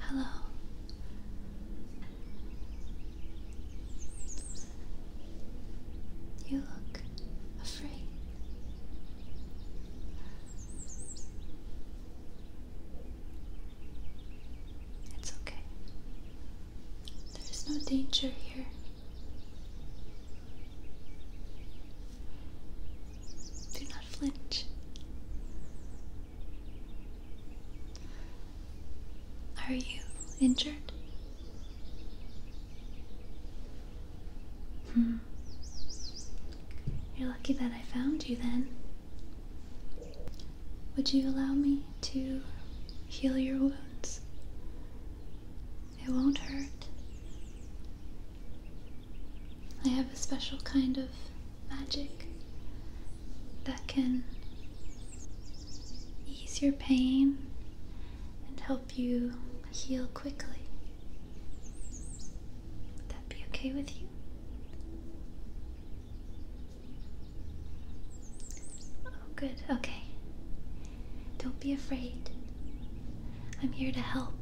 Hello. You look afraid. It's okay. There's no danger here. Do not flinch. Are you injured? Hmm. You're lucky that I found you then. Would you allow me to heal your wounds? It won't hurt. I have a special kind of magic that can ease your pain and help you heal quickly. Would that be okay with you? Oh, good, okay. Don't be afraid. I'm here to help.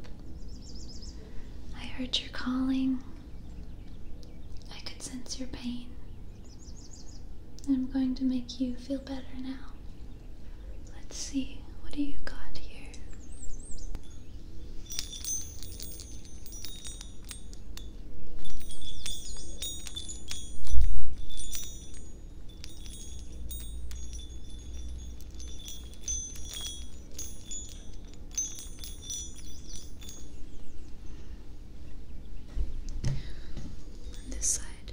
I heard your calling. I could sense your pain. I'm going to make you feel better now. Let's see, what do you got here? this side.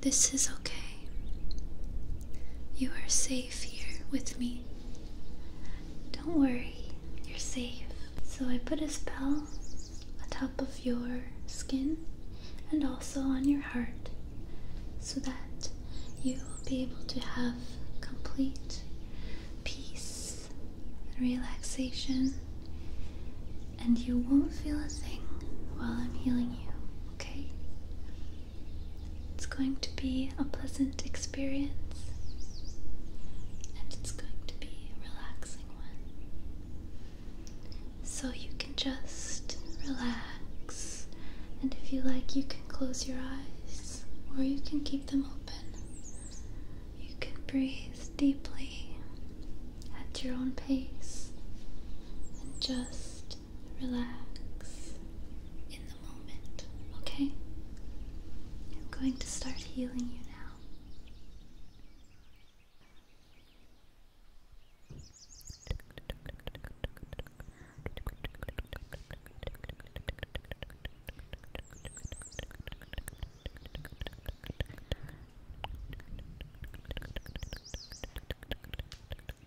This is okay. You are safe here with me. Don't worry, you're safe. So I put a spell on top of your skin and also on your heart so that you will be able to have complete peace and relaxation and you won't feel a thing while I'm healing you, okay? It's going to be a pleasant experience and it's going to be a relaxing one. So you can just relax, and if you like, you can close your eyes or you can keep them open. You can breathe deeply at your own pace and just relax in the moment, okay? I'm going to start healing you now.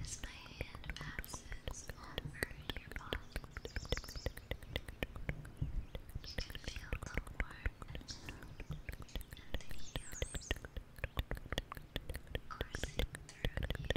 as my hand passes over your body. You can feel the warmth and the healing coursing through you.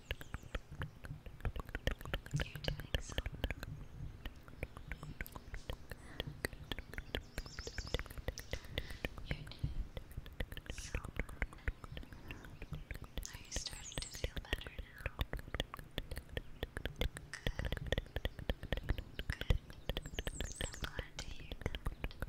You're doing so good. You're doing so good. Are you starting to feel better now? Good. I'm glad to hear that. Relax.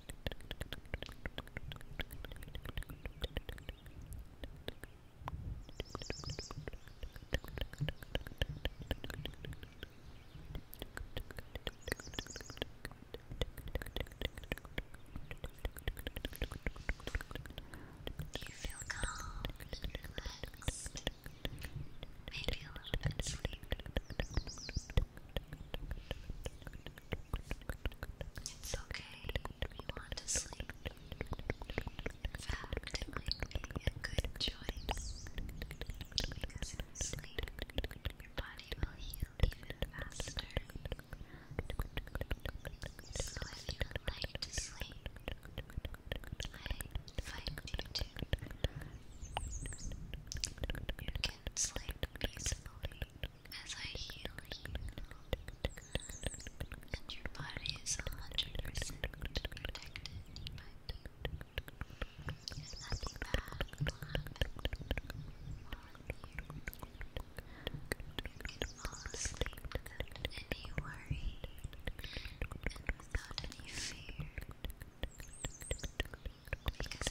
You feel calm, relaxed, maybe a little bit sleepy. It's okay want to sleep. In fact, good choice. Because in sleep, body will heal faster. So if you would like to sleep, I invite you to. You can sleep peacefully as I heal you, and your body is 100% protected by me. nothing bad will happen you. You can fall asleep without any worry and without any fear. Because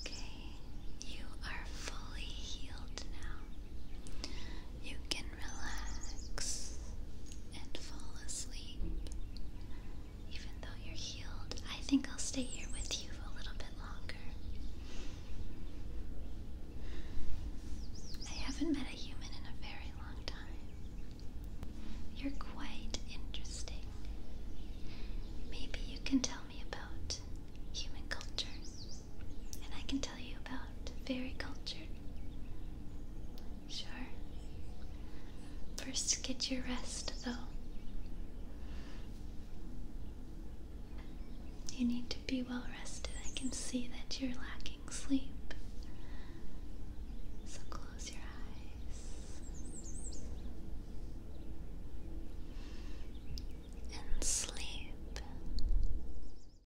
Okay, you are fully healed now. You can relax and fall asleep. Even though you're healed, I think I'll stay here with you a little bit longer. I haven't met a human in a very long time. You're quite interesting. Maybe you can tell me about human cultures and I can tell you about fairy culture. Sure. First, get your rest though. You need to be well rested. I can see that you're lacking sleep. So close your eyes and sleep.